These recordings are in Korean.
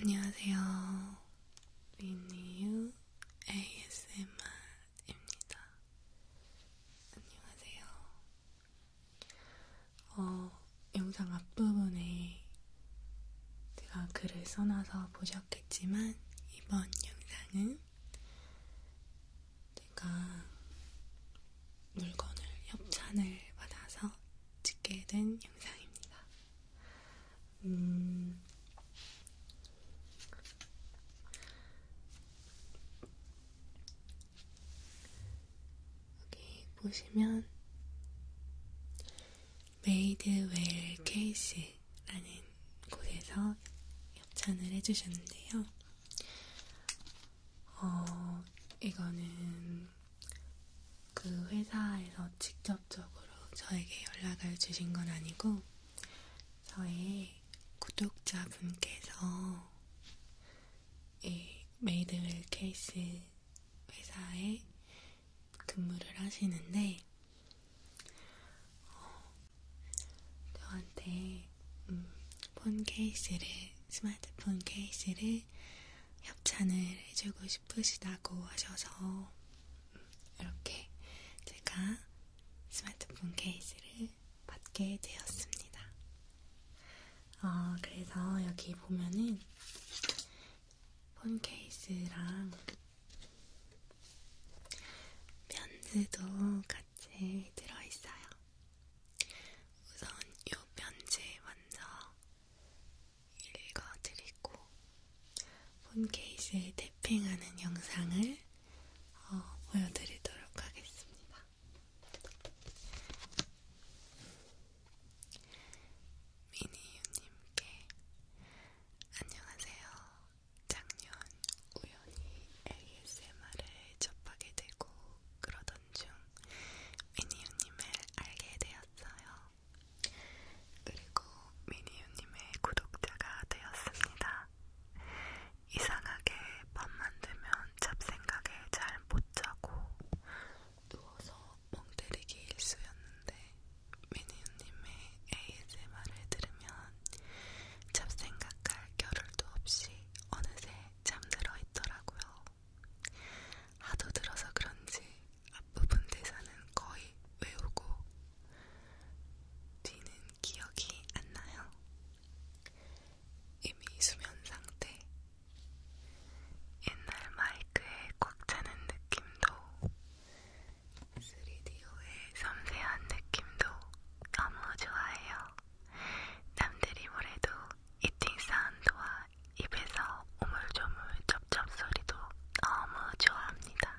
안녕하세요. 위니유 ASMR입니다. 안녕하세요. 어, 영상 앞부분에 제가 글을 써놔서 보셨겠지만, 이번 영상은 내가 물건을 협찬을 받아서 찍게 된 영상입니다. 음, 여기 보시면 메이드웰 케이스라는 곳에서 협찬을 해주셨는데요. 어, 이거는 그 회사에서 직접적으로 저에게 연락을 주신 건 아니고, 저의 구독자분께서 이 메이드웰 케이스 회사에 근무를 하시는데, 어, 저한테 음, 폰 케이스를 스마트폰 케이스를 협찬을 해주고 싶으시다고 하셔서 음, 이렇게 제가 스마트폰 케이스를 받게 되었습니다. 어, 그래서 여기 보면은 폰 케이스랑 면즈도 같이 들어있어요. 우선 이 편지 먼저 읽어드리고 폰케이스에 태핑하는 영상을 어, 보여드리도록 하겠습니다. 미니유님께 안녕하세요. 작년 우연히 ASMR을 접하게 되고 그러던 중 미니유님을 알게 되었어요. 그리고 미니유님의 구독자가 되었습니다. 이상하게 밤만 되면 잡생각에 잘 못 자고 누워서 멍 때리기 일쑤였는데 미니유님의 ASMR을 들으면 잡생각할 겨를도 없이 어느새 잠들어 있더라고요. 하도 들어서 그런지 앞부분 대사는 거의 외우고 뒤는 기억이 안 나요. 이미 수면 상태. 옛날 마이크에 꽉 차는 느낌도 3D오의 섬세한 느낌도 너무 좋아해요. 남들이 뭐래도 이팅 사운드와 입에서 오물조물 쩝쩝 소리도 너무 좋아합니다.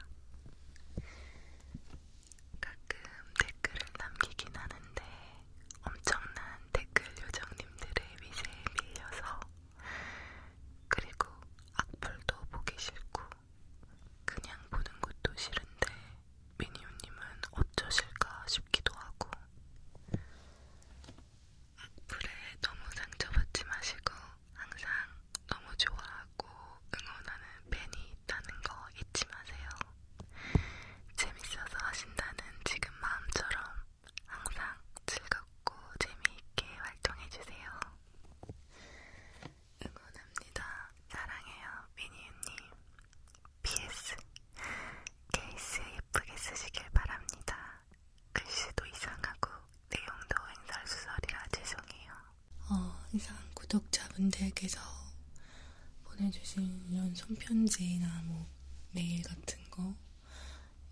가끔 댓글을 남기긴 하는데 엄청난 댓글 요정님들의 미세에 밀려서 그리고 악플도 보기 싫고 그냥 보는 것도 싫은데 미니언님은 어쩌실까 싶기도 하고 악플에 너무 상처받지 마시고 항상 너무 좋아하고 응원하는 팬이 있다는 거 잊지 마세요. 재밌어서 하신다는 지금 마음처럼 항상 즐겁고 재미있게 활동해주세요. 응원합니다. 사랑해요, 미니유님. PS. 케이스 예쁘게 쓰시길 바랍니다. 글씨도 이상하고 내용도 횡설수설이라 죄송해요. 어, 이상 구독자분들께서 보내주신 이런 손편지나 뭐 메일 같은 거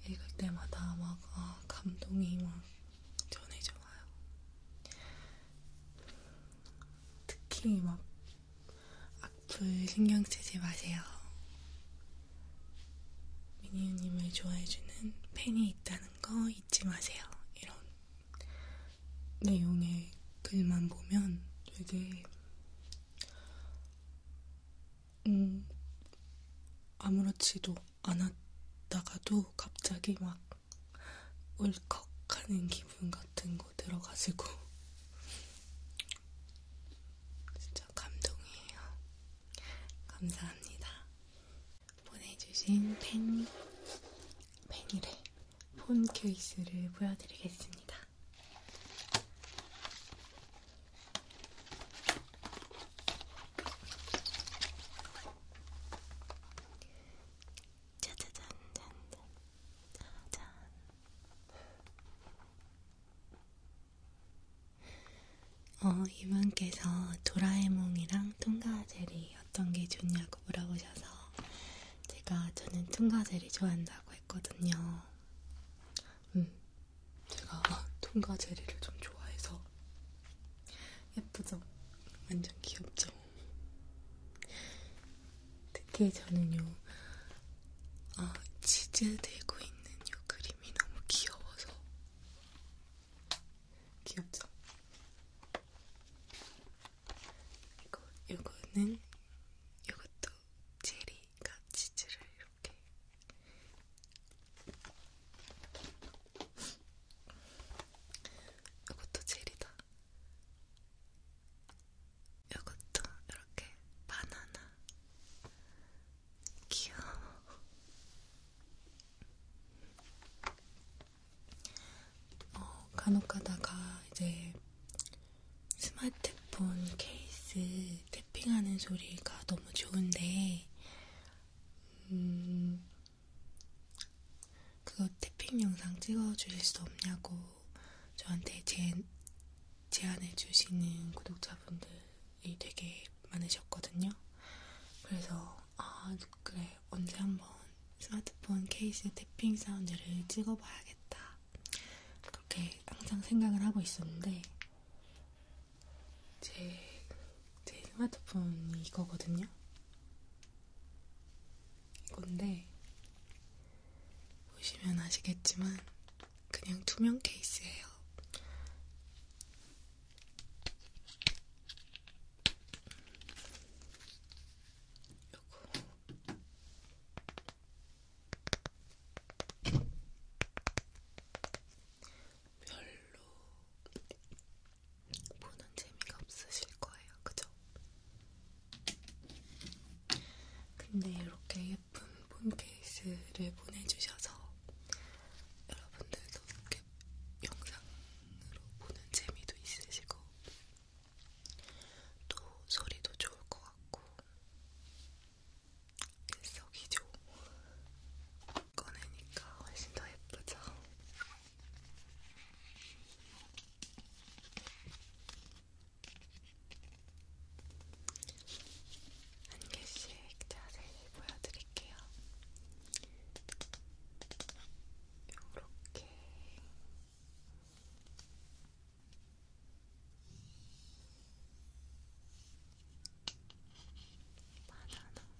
읽을 때마다 막 아, 감동이 막 전해져 와요. 특히 막 악플 신경 쓰지 마세요. 미니유님을 좋아해주는 팬이 있다는 거 잊지 마세요. 이런 내용의 글만 보면 되게 음, 아무렇지도 않았다가도 갑자기 막 울컥하는 기분 같은 거 들어가지고 진짜 감동이에요. 감사합니다. 보내주신 펜, 펜이래 폰 케이스를 보여드리겠습니다. 짜자잔짠짠 짜잔 어, 이분께서 도라에몽이랑 통과젤이 어떤 게 좋냐고 물어보셔서 제가 저는 통과젤이 좋아한다고 했거든요. 음, 제가 통과젤리를 좀 좋아해서 예쁘죠? 완전 귀엽죠? 특히 저는 요 아, 치즈 들고 있는 요 그림이 너무 귀여워서 귀엽죠? 이거 요거는 요것도 체리가 치즈를 이렇게 이것도 젤이다. 이것도 이렇게 바나나 귀여워 어, 간혹 가다가 이제 스마트폰 케이스 탭핑하는 소리가 너무 좋은데 음, 그거 태핑 영상 찍어주실 수 없냐고 저한테 제, 제안해주시는 구독자분들이 되게 많으셨거든요. 그래서, 아, 그래, 언제 한번 스마트폰 케이스 태핑 사운드를 찍어봐야겠다. 그렇게 항상 생각을 하고 있었는데, 제, 제 스마트폰이 이거거든요. 이건데 보시면 아시겠지만 그냥 투명 케이스예요. 요거 별로 보는 재미가 없으실 거예요, 그죠? 근데 이렇게 예쁜 폰 케이스를 보내주셔서 여러분들도 이렇게 영상으로 보는 재미도 있으시고 또 소리도 좋을 것 같고 일석이조 꺼내니까 훨씬 더 예쁘죠? 한 개씩 자세히 보여드릴게요. 요렇게 바나나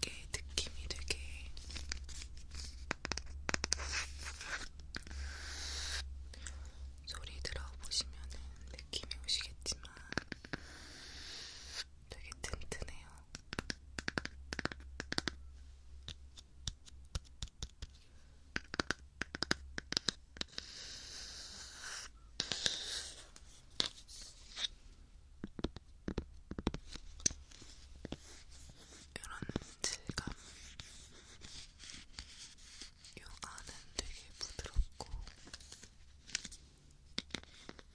이게 느낌이 되게 소리 들어보시면 느낌이 오시겠지만 되게 튼튼해요. 이런 질감. 요 안은 되게 부드럽고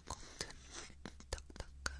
겉은 딱딱한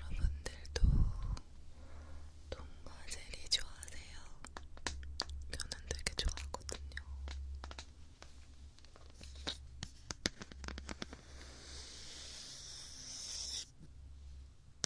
여러분들도 통과 젤리 좋아하세요? 저는 되게 좋아하거든요.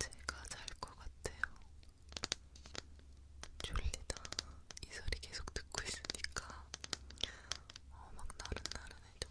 제가 잘 것 같아요. 졸리다. 이 소리 계속 듣고 있으니까 어, 막 나른나른해져.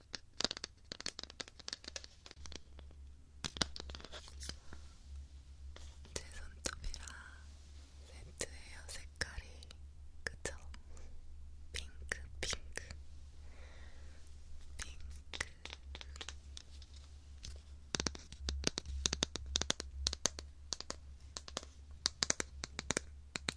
제 손톱이랑 세트 헤어 색깔이 그쵸? 핑크 핑크 핑크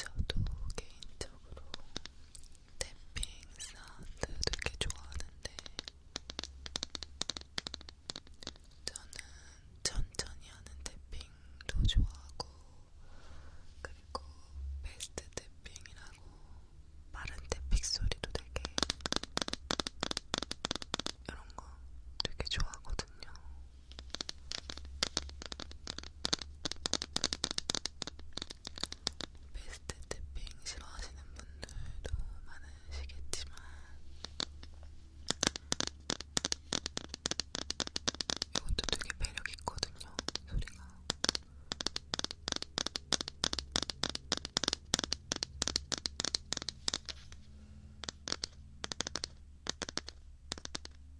저도 개인적으로 개인적으로 탭핑 사운드 되게 좋아하는데 저는 천천히 하는 탭핑도 좋아하고 그리고 베스트 탭핑이라고 빠른 탭핑 소리도 되게 이런 거 되게 좋아하거든요. 베스트 태핑 싫어하시는 분들도 많으시겠지만 이것도 되게 매력 있거든요, 소리가.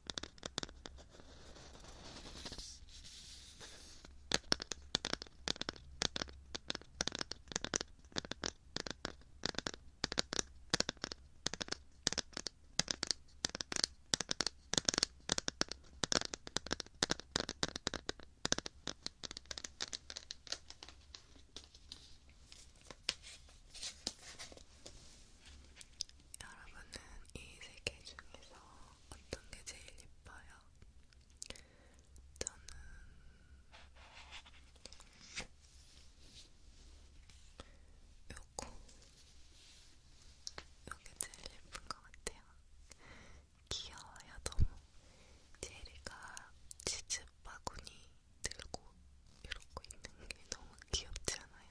여러분은 이세개 중에서 어떤 게 제일 예뻐요? 저는 요거 요게 제일 예쁜 것 같아요. 귀여워요 너무. 제리가 치즈 바구니 들고 이러고 있는 게 너무 귀엽지 않아요?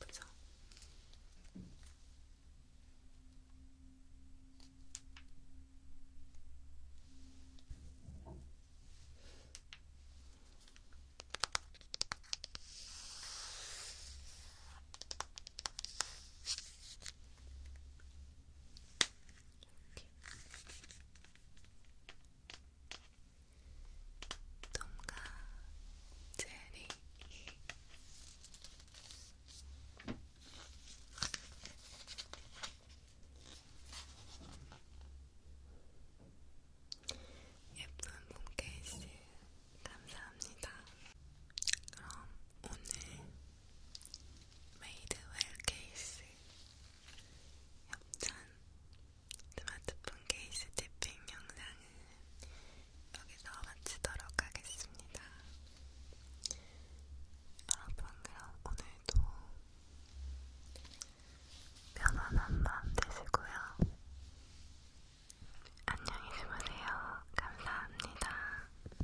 예쁘죠? 이렇게 톰과 제리 예쁜 폰케이스 감사합니다. 그럼 오늘 메이드웰 케이스 협찬 스마트폰 케이스 탭핑 영상은 여기서 마치도록 하겠습니다. 여러분 그럼 오늘도 편안한 밤 되시고요. 안녕히 주무세요. 감사합니다. 안녕.